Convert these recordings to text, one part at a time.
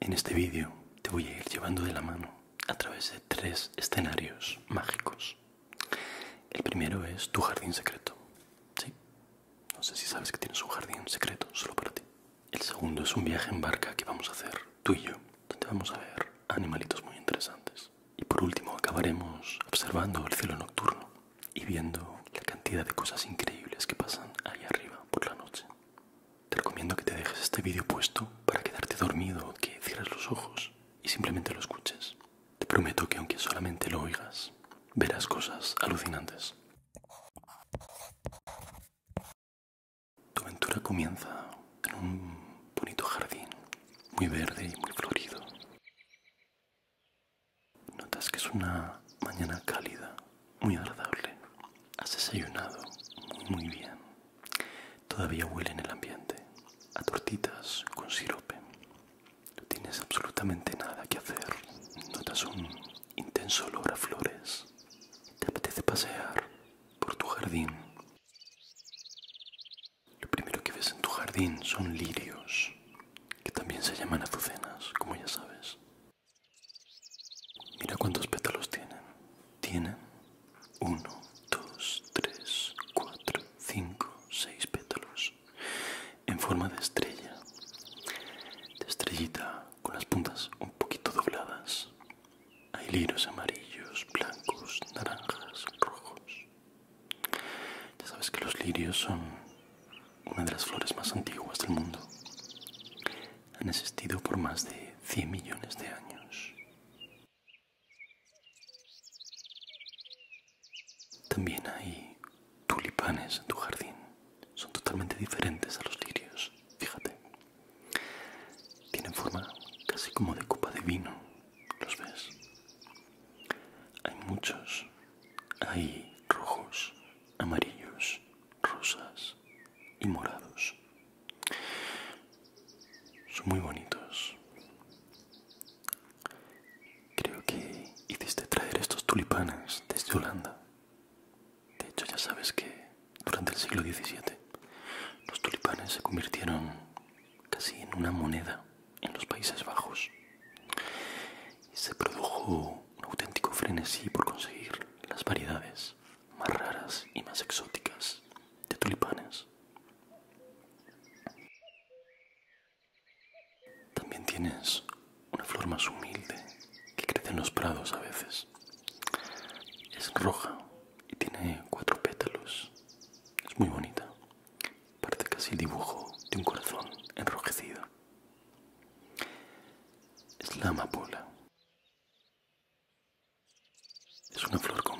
En este vídeo te voy a ir llevando de la mano a través de tres escenarios mágicos. El primero es tu jardín secreto. Sí, no sé si sabes que tienes un jardín secreto solo para ti. El segundo es un viaje en barca que vamos a hacer tú y yo, donde vamos a ver animalitos muy interesantes. Y por último acabaremos observando el cielo nocturno y viendo la cantidad de cosas increíbles que pasan ahí arriba por la noche. Te recomiendo que te dejes este vídeo puesto para quedarte dormido, que cierres los ojos y simplemente lo escuches. Te prometo que aunque solamente lo oigas, verás cosas alucinantes. Tu aventura comienza en un bonito jardín, muy verde y muy florido. Notas que es una mañana cálida muy agradable. Has desayunado muy, bien. Todavía huele en el ambiente a tortitas con sirope. No tienes absolutamente nada que hacer. Notas un intenso olor a flores. Te apetece pasear por tu jardín. Lo primero que ves en tu jardín son lirios, que también se llaman azucenas, como ya sabes. Mira cuántos pétalos tienen. Tienen uno, dos, tres, cuatro, cinco, seis pétalos en forma de estrella. De estrellita con las puntas un poquito dobladas. Hay lirios amarillos, blancos, naranjas, rojos. Ya sabes que los lirios son una de las flores más antiguas del mundo han existido por más de 100 millones de años. También hay tulipanes en tu jardín. Son totalmente diferentes a los lirios, fíjate. Tienen forma casi como de copa de vino, ¿los ves? Hay muchos. Hay rojos, amarillos, rosas, y morados. Son muy bonitos. Creo que hiciste traer estos tulipanes desde Holanda. De hecho, ya sabes que durante el siglo XVII los tulipanes se convirtieron casi en una moneda en los Países Bajos y se produjo un auténtico frenesí por conseguir las variedades más raras y más exóticas de tulipanes. También tienes una flor más humilde que crece en los prados a veces. Es roja y tiene cuatro pétalos. Es muy bonita. Parece casi el dibujo de un corazón enrojecido. Es la amapola. Es una flor con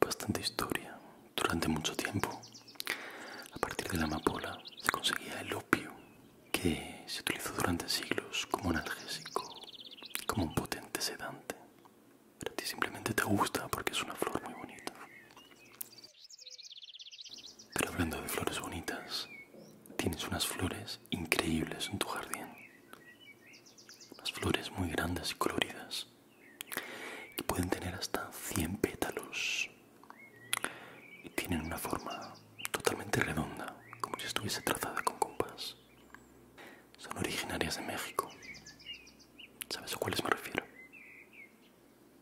bastante historia. Durante mucho tiempo, a partir de la amapola se conseguía el opio, que se utilizó durante siglos como analgésico, como un potente sedante. Pero a ti simplemente te gusta porque es una flor muy bonita. Pero hablando de flores bonitas, tienes unas flores increíbles en tu jardín. las flores muy grandes y coloridas que pueden tener hasta 100 pétalos y tienen una forma totalmente redonda, como si estuviese trazada con compás. Son originarias de México. ¿Sabes a cuáles me refiero?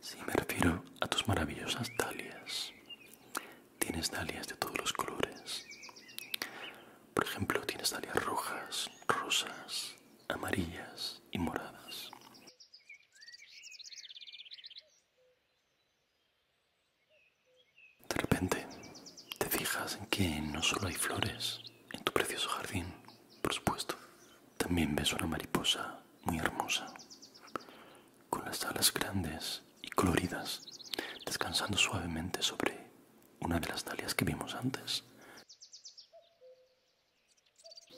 Sí, me refiero a tus maravillosas dalias, Tienes dalias de todos los colores. Por ejemplo, tienes dalias rojas, rosas, amarillas y moradas. De repente, te fijas en que no solo hay flores en tu precioso jardín, por supuesto. También ves una mariposa muy hermosa con las alas grandes y coloridas, descansando suavemente sobre una de las dalias que vimos antes.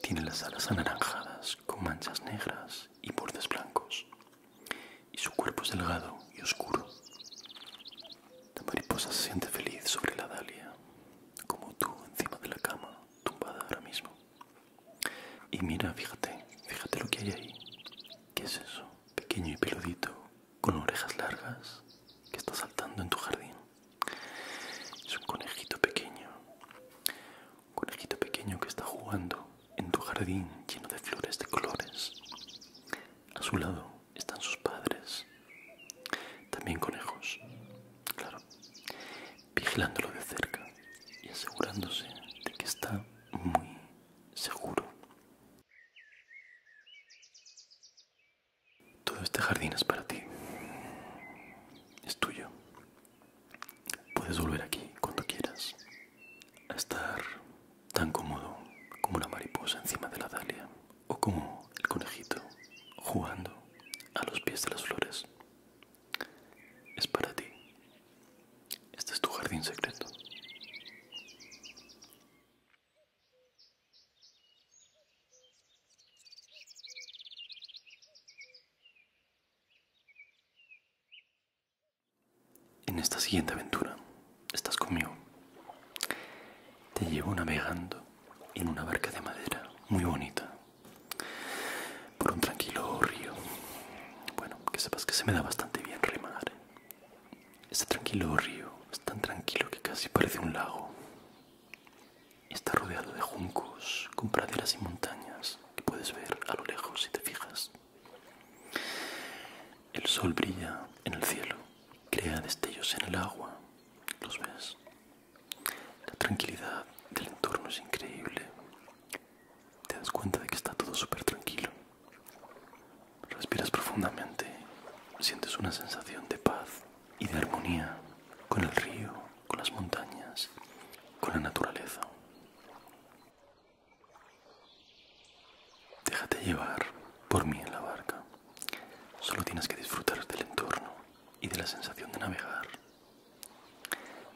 Tiene las alas anaranjadas con manchas negras y bordes blancos, y su cuerpo es delgado y oscuro. La mariposa se siente feliz sobre la dalia, como tú encima de la cama, tumbada ahora mismo. Y mira, fíjate, fíjate lo que hay ahí. ¿Qué es eso? Pequeño y peludito, con orejas largas, que está saltando en tu jardín. Es un conejito pequeño. Un conejito pequeño que está jugando en tu jardín lleno de flores de colores. A su lado están sus padres. También conejos, claro. Vigilándolo de cerca y asegurándose de que está muy seguro. Todo este jardín es para ti. Es tuyo. Puedes volver aquí cuando quieras. A estar tan cómodo como la mariposa encima de la dalia o como el conejito jugando a los pies de las flores. Es para ti. Este es tu jardín secreto. En esta siguiente aventura, estás conmigo. Te llevo navegando en una barca de madera muy bonita por un tranquilo río. Bueno, que sepas que se me da bastante bien remar. ¿eh? Este tranquilo río es tan tranquilo que casi parece un lago. Está rodeado de juncos, con praderas y montañas que puedes ver a lo lejos si te fijas. El sol brilla en el cielo, crea destellos en el agua, los ves. La tranquilidad del entorno es increíble te das cuenta de que está todo súper tranquilo. Respiras profundamente, sientes una sensación de paz y de armonía con el río, con las montañas, con la naturaleza. Déjate llevar por mí en la barca. Solo tienes que disfrutar del entorno y de la sensación de navegar.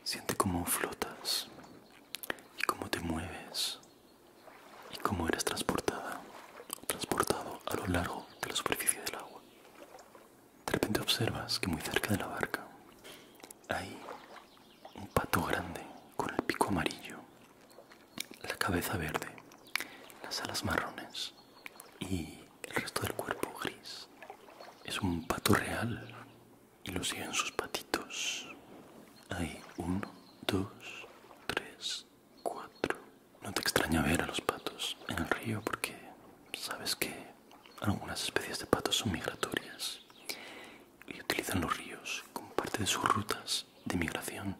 Siente cómo flotas y cómo te mueves y cómo eres transportada, transportado a lo largo de la superficie del agua. De repente observas que muy cerca de la barca hay un pato grande con el pico amarillo, la cabeza verde, las alas marrones y el resto del cuerpo gris. Es un pato real, y lucían sus patitos. Hay uno, dos, tres, cuatro. No te extraña ver a los patos en el río porque sabes que algunas especies de patos son migratorias y utilizan los ríos como parte de sus rutas de migración.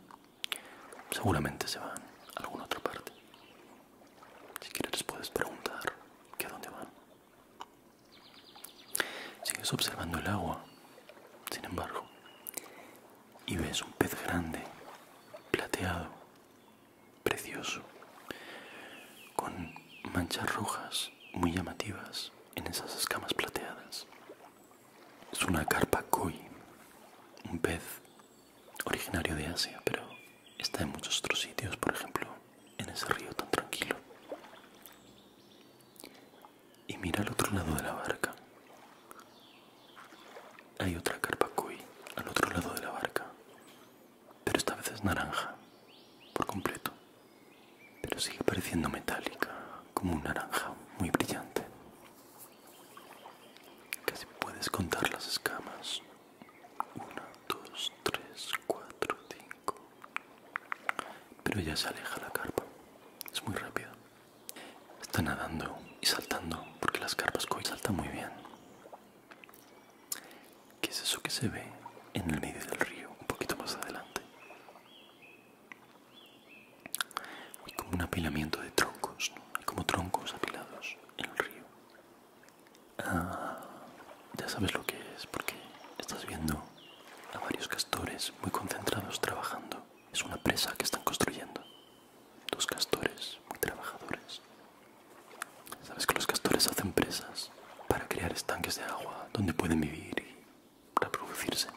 Seguramente se van a alguna otra parte. Si quieres puedes preguntar que a dónde van. Sigues observando el agua, sin embargo, y ves un pez grande, plateado, precioso, con manchas rojas muy llamativas en esas escamas plateadas. Es una carpa koi, un pez originario de Asia, pero está en muchos otros sitios, por ejemplo, en ese río tan tranquilo. Y mira al otro lado de la barca. Hay otra carpa al otro lado de la barca, pero esta vez es naranja, por completo. Pero sigue pareciendo metálica, como un naranja muy brillante. Casi puedes contar las escamas 1, 2, 3, 4, 5. Pero ya se aleja la carpa. Es muy rápido Está nadando y saltando porque las carpas koi saltan muy bien. ¿Qué es eso que se ve en el medio del río, un poquito más adelante? Hay como un apilamiento de troncos, Hay como troncos apilados en el río. Ah, ya sabes lo que es porque estás viendo a varios castores muy concentrados trabajando. Es una presa que están construyendo. Dos castores muy trabajadores. Sabes que los castores hacen presas para crear estanques de agua donde pueden vivir y reproducirse.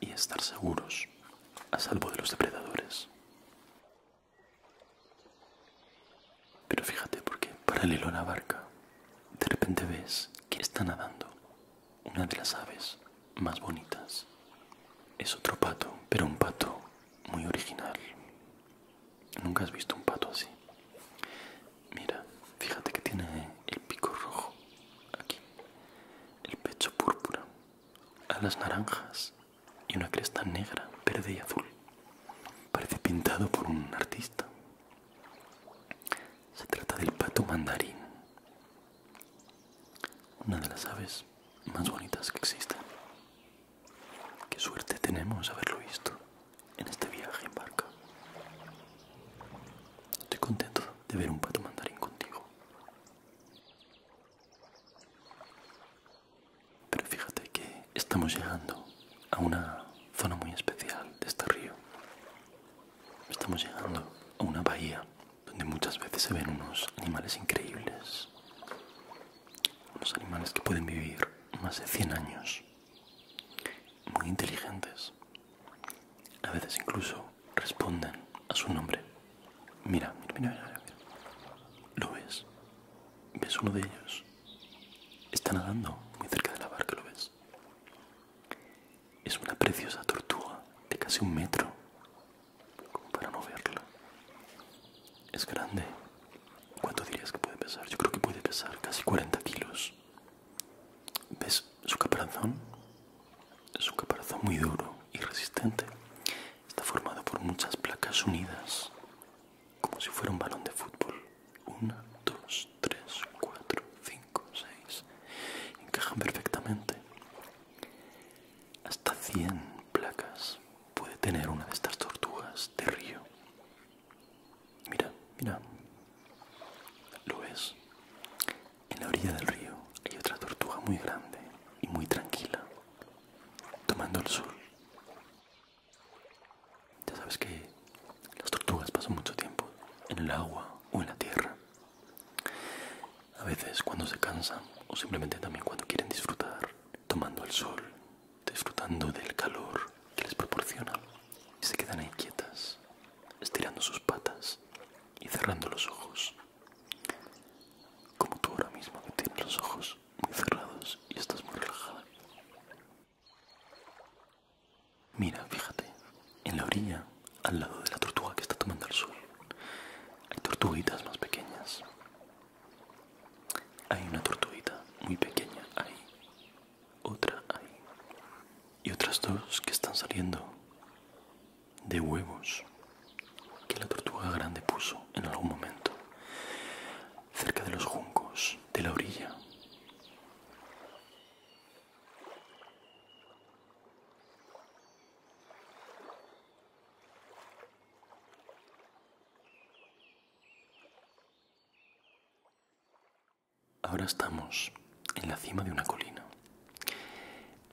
Y estar seguros, a salvo de los depredadores. Pero fíjate porque paralelo a la barca, de repente ves que está nadando una de las aves más bonitas. Es otro pato, pero un pato muy original. Nunca has visto un pato así. Mira, fíjate que tiene el pico rojo aquí, el pecho púrpura, las naranjas y una cresta negra, verde y azul. Parece pintado por un artista. Se trata del pato mandarín, una de las aves más bonitas que existen. Qué suerte tenemos haberlo visto en este viaje en barca. Estoy contento de ver un pato mandarín contigo. Pero fíjate que estamos llegando a una zona muy especial de este río. Estamos llegando a una bahía donde muchas veces se ven unos animales increíbles. Unos animales que pueden vivir más de 100 años. Muy inteligentes. A veces incluso responden a su nombre. Mira, mira, mira, mira. mira. ¿Lo ves? ¿Ves uno de ellos? Está nadando muy cerca de la barca, ¿lo ves? Es una preciosa tortuga de casi un metro, como para no verla. Es grande. ¿Cuánto dirías que puede pesar? Yo creo que puede pesar casi 40 kilos. ¿Ves su caparazón? Es un caparazón muy duro y resistente. Está formado por muchas placas unidas como si fuera un balón de fútbol. Una, dos, tres, cuatro, cinco, seis. Encajan perfectamente. Hasta 100 placas puede tener una de estas tortugas de río. Mira, mira. ¿Lo ves? En la orilla del río hay otra tortuga muy grande y muy tranquila, tomando el sol. Ya sabes que las tortugas pasan mucho tiempo en el agua o en la tierra. A veces cuando se cansan o simplemente también cuando quieren disfrutar, tomando el sol, disfrutando del calor que les proporciona, y se quedan ahí quietas, estirando sus patas y cerrando los ojos. Como tú ahora mismo que tienes los ojos muy cerrados y estás muy relajada. Mira, fíjate, en la orilla, al lado de la tortuga que está tomando el sol, hay tortuguitas más pequeñas. Hay una tortuguita muy pequeña ahí, otra ahí, y otras dos que están saliendo de huevos que la tortuga grande puso en algún momento cerca de los juncos de la orilla. Ahora estamos en la cima de una colina,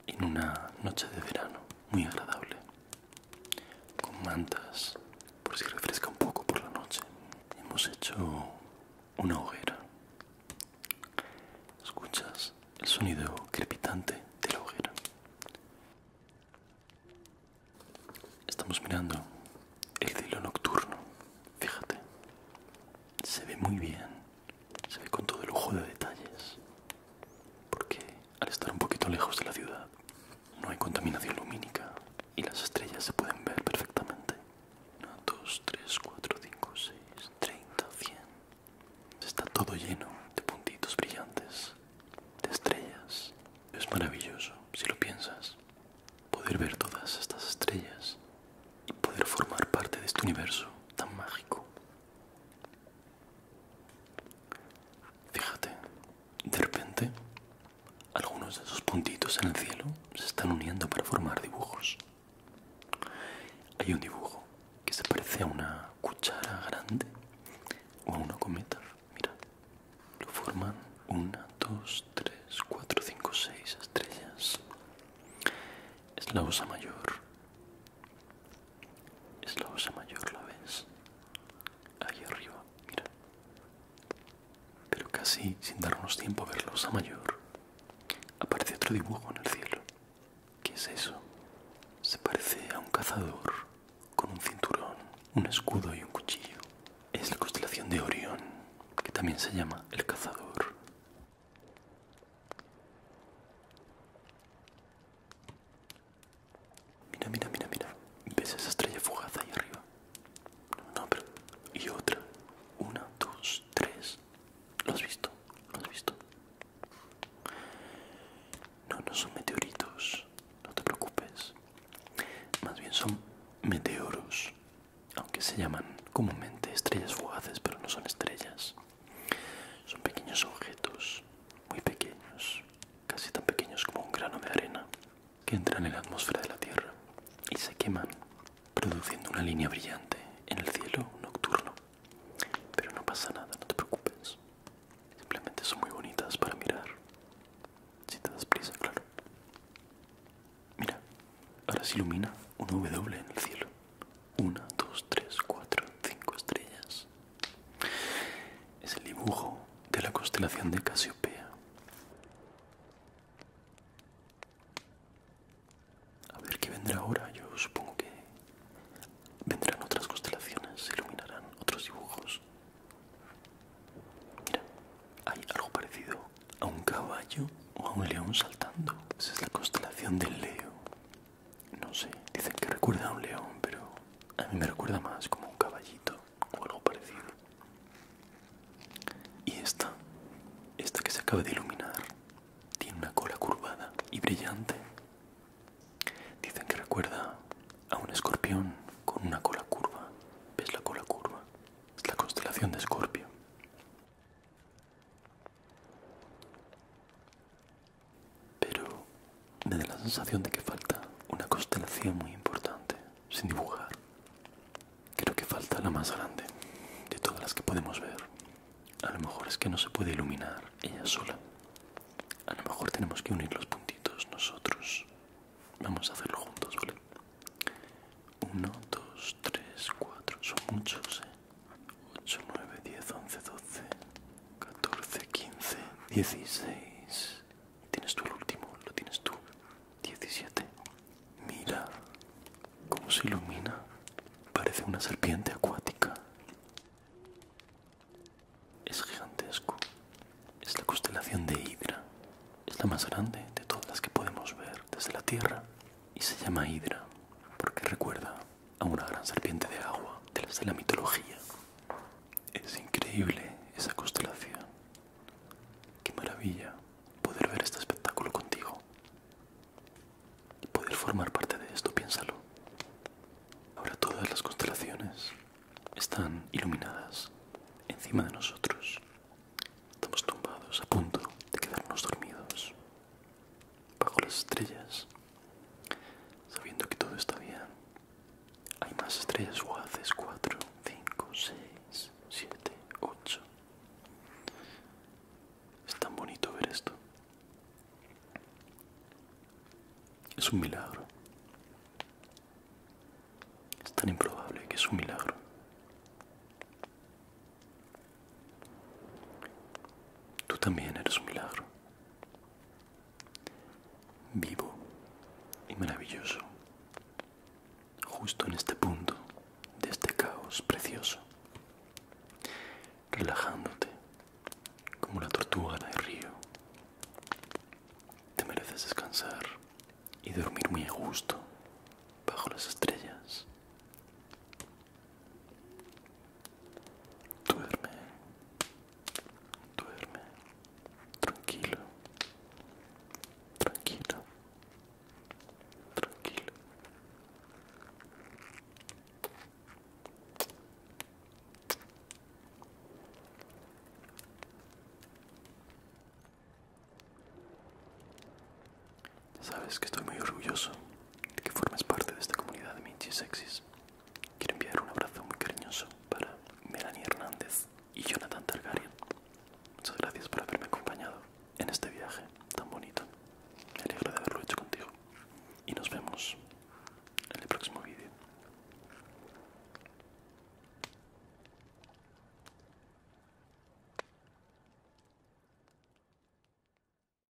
en una noche de verano muy agradable con mantas por si refresca un poco por la noche. Hemos hecho una hoguera. Escuchas el sonido crepitante de la hoguera. Estamos mirando el cielo nocturno. Fíjate, se ve muy bien, se ve con todo el ojo de detalles, porque al estar un poquito lejos de la ciudad no hay contaminación lumínica y las estrellas se pueden ver perfectamente. 1, 2, 3, 4, 5, 6, 30, 100. Está todo lleno de puntitos brillantes, de estrellas. Es maravilloso, si lo piensas, poder ver todas estas estrellas y poder formar parte de este universo tan mágico. Fíjate, de repente, algunos de esos puntitos en el cielo se están uniendo para formar dibujos. Hay un dibujo que se parece a una cuchara grande o a una cometa. Mira, lo forman una, dos, tres, cuatro, cinco, seis estrellas. Es la osa mayor. Es la osa mayor, ¿la ves? Ahí arriba, mira. Pero casi sin darnos tiempo a ver la osa mayor, aparece otro dibujo en el cielo. ¿Qué es eso? Se parece a un cazador con un cinturón, un escudo y un cuchillo. Es la constelación de Orión, que también se llama el cazador. Mira, mira, mira, mira. ¿Ves esa estrella fugaz ahí arriba? No, pero... Y otra. Una, dos, tres. ¿Lo has visto? ¿Lo has visto? No, no son meteoritos. No te preocupes. Más bien son meteoros. Aunque se llaman comúnmente estrellas fugaces, pero no son estrellas. Son pequeños objetos. Muy pequeños casi tan pequeños como un grano de arena, que entran en la atmósfera de la Tierra y se queman, produciendo una línea brillante en el cielo nocturno. Pero no pasa nada, no te preocupes. Simplemente son muy bonitas para mirar. Si te das prisa, claro. Mira, ahora se ilumina una W en el cielo. Una, dos, tres, cuatro, cinco estrellas. Es el dibujo de la constelación de Casiopea. A ver qué vendrá ahora. Yo supongo que vendrán otras constelaciones, se iluminarán otros dibujos. Mira, hay algo parecido a un caballo o a un león saltando. Esa es la constelación del Leo. No sé, dicen que recuerda a un león, pero a mí me recuerda más como un caballito o algo parecido. Y esta, esta que se acaba de iluminar, tiene una cola curvada y brillante. Dicen que recuerda a un escorpión con una cola curva. ¿Ves la cola curva? Es la constelación de Escorpio. Pero me da la sensación de que falta una constelación muy importante sin dibujar. Creo que falta la más grande de todas las que podemos ver. A lo mejor es que no se puede iluminar ella sola. A lo mejor tenemos que unir los puntitos nosotros. Vamos a hacerlo juntos, ¿vale? Uno, dos, tres, cuatro. Son muchos, ¿eh? 8, 9, 10, 11, 12, 14, 15, 16. ¿Tienes tú el último? ¿Lo tienes tú? 17. Mira cómo se ilumina. Parece una serpiente acuática. Es gigantesco. Es la constelación de Hidra. Es la más grande de todas las que podemos ver desde la Tierra. Y se llama Hidra porque recuerda a una gran serpiente de agua de las de la mitología. Es increíble esa constelación. Qué maravilla poder ver este espectáculo contigo. Y poder formar parte de esto, piénsalo. Ahora todas las constelaciones están iluminadas encima de nosotros. Estamos tumbados a punto de quedarnos dormidos bajo las estrellas, sabiendo que todo está bien. Hay más estrellas haces 4, 5, 6, 7, 8. Es tan bonito ver esto. Es un milagro. Es tan improbable que es un milagro. Tú también eres un milagro vivo y maravilloso, justo en este punto de este caos precioso, relajándote como la tortuga del río. Te mereces descansar y dormir muy a gusto bajo las estrellas. Duerme, duerme, tranquilo, tranquilo, tranquilo. sabes que estoy muy orgulloso de que formes parte de esta comunidad de Minchis Sexys. Quiero enviar un abrazo muy cariñoso para Melanie Hernández y Jonathan Targaryen. Muchas gracias por haberme acompañado en este viaje tan bonito. Me alegro de haberlo hecho contigo. Y nos vemos en el próximo vídeo.